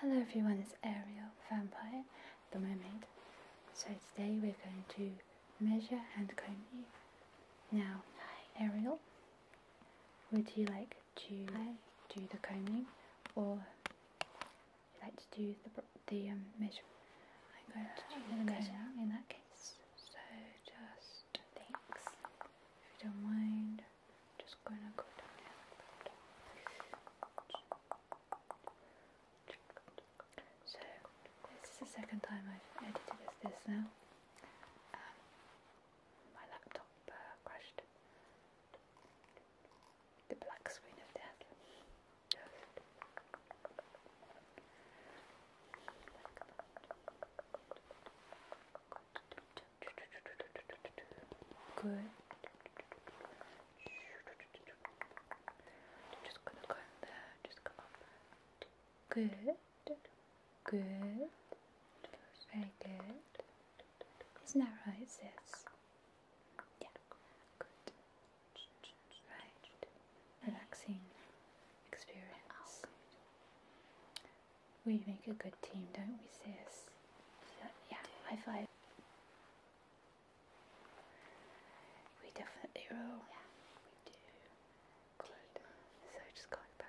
Hello everyone, it's Ariel, Vampire, the Mermaid. So today we're going to measure and comb you. Now, Ariel, would you like to do the combing or would you like to do the, the um, I'm going to do the measuring in that case. So just thanks, if you don't mind. Just gonna go down here So this is the second time I've edited as this now. Um, my laptop uh, crashed. The black screen of death. Good. Just gonna go there, just come up. Good. Good. Very good. Isn't that right, sis? Yeah. Good. Right. Relaxing experience. We make a good team, don't we, sis? yeah, high five. We definitely roll. Yeah, we do. So just going back.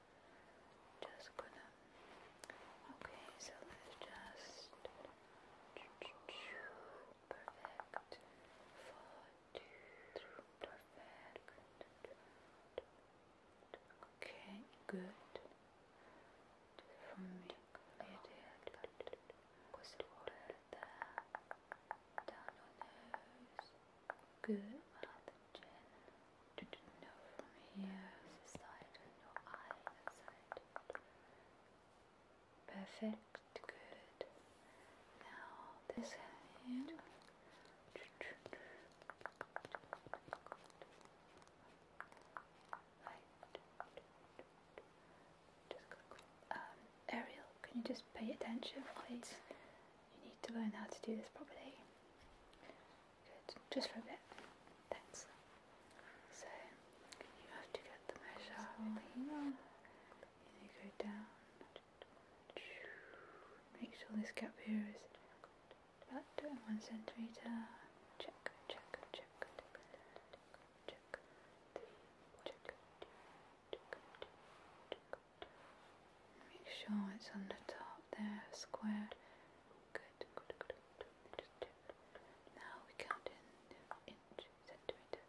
Just gonna. Okay, so let's just. Perfect. Four, perfect. Okay, good. For me, it is. Was water there? Down your nose. Good. Perfect. Good. Now this hand. Right. Um, Ariel, can you just pay attention, please? You need to learn how to do this properly just for a bit. Thanks. So, you have to get the measure you go down. Make sure this gap here is about two one centimetre. Check, check, check, check, check, check, Make sure it's on the top there, squared. Good, good, good. Now we count in inch, centimeter.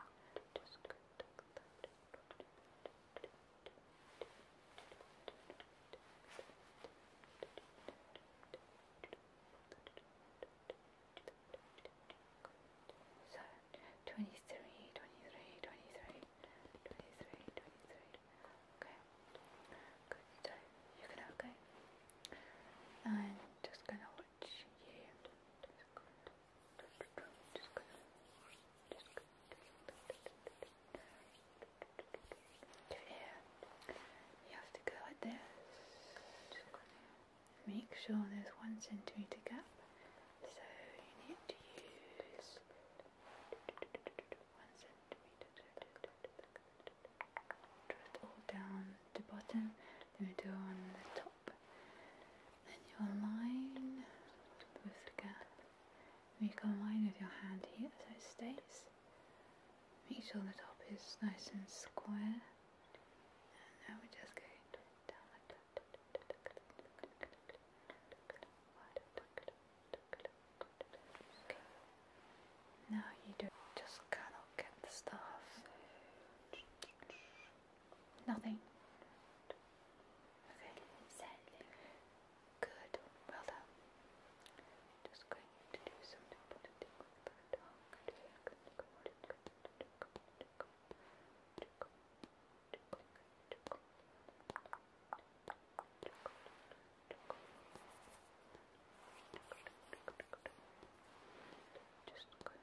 Just good. 23, 23, 23, 23, 23, Okay. Good. So you're okay. I'm just gonna watch you. Just gonna just gonna just gonna your ear. You have to go like this. Just gonna make sure there's one centimetre gap. So you need to use one all down the bottom, then we do on the top. Then you align with the gap. You can align with your hand here so it stays. Make sure the top is nice and square. And now we just go down like now you do just cannot get the stuff. Nothing. Okay. Good. Well done. Just going to do something. Just go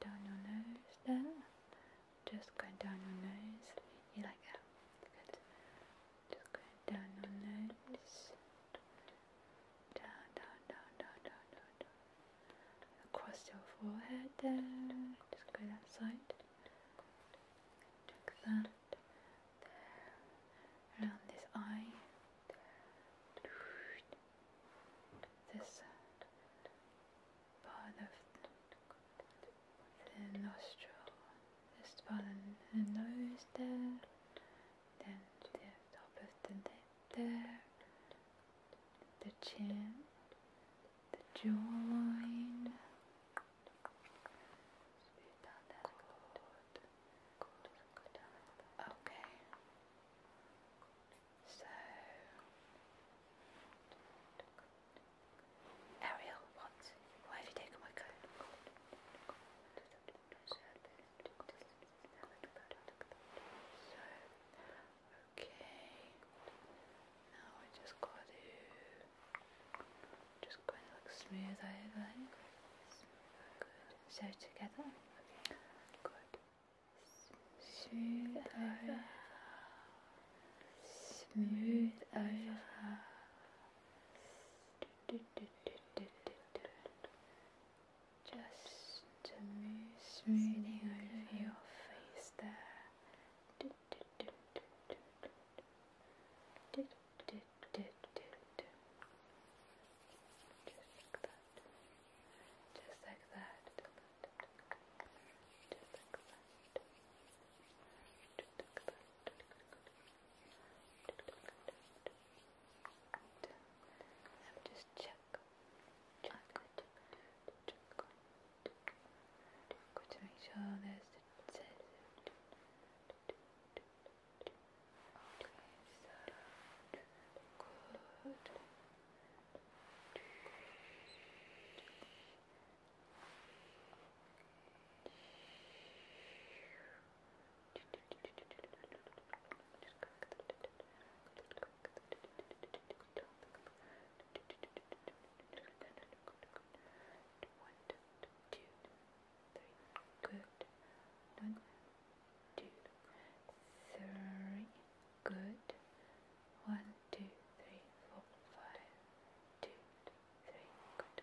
down your nose there. Just go down your nose. You like that? Good. Just go down your nose. Down, down, down, down, down, down, down across your forehead there, just go that side, check that, there, around this eye, this part of the nostril, this part the nose there, then the top of the neck the the chin, the jawline. Okay. So Ariel, what? Why have you taken my coat? So, okay. Now I just got to just going to smooth over. Good. So together. Good. Smooth over. Smooth over. Smooth over. Just to move smoothing over your face there. Just like that. Just like that. Let me just check. Check. Check. Good to make sure there's the Okay, so good. Okay. Good. One, two, three. Good. One, two, three, four, five. Two, three. Good.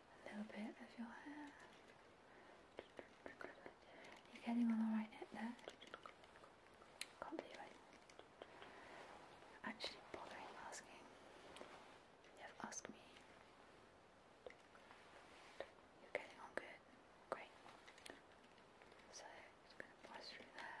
a little bit of your hair. You're getting on alright hip there. Can't believe i actually bothering asking. You've asked me. You're getting on good. Great. So it's gonna pass through there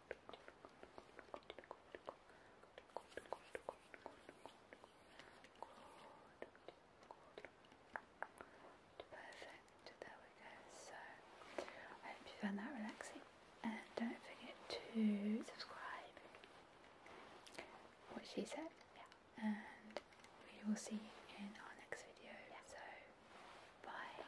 Perfect, there we go. So, I hope you found that relaxing and don't forget to subscribe. What she said, yeah. And we will see you in our next video. So, bye.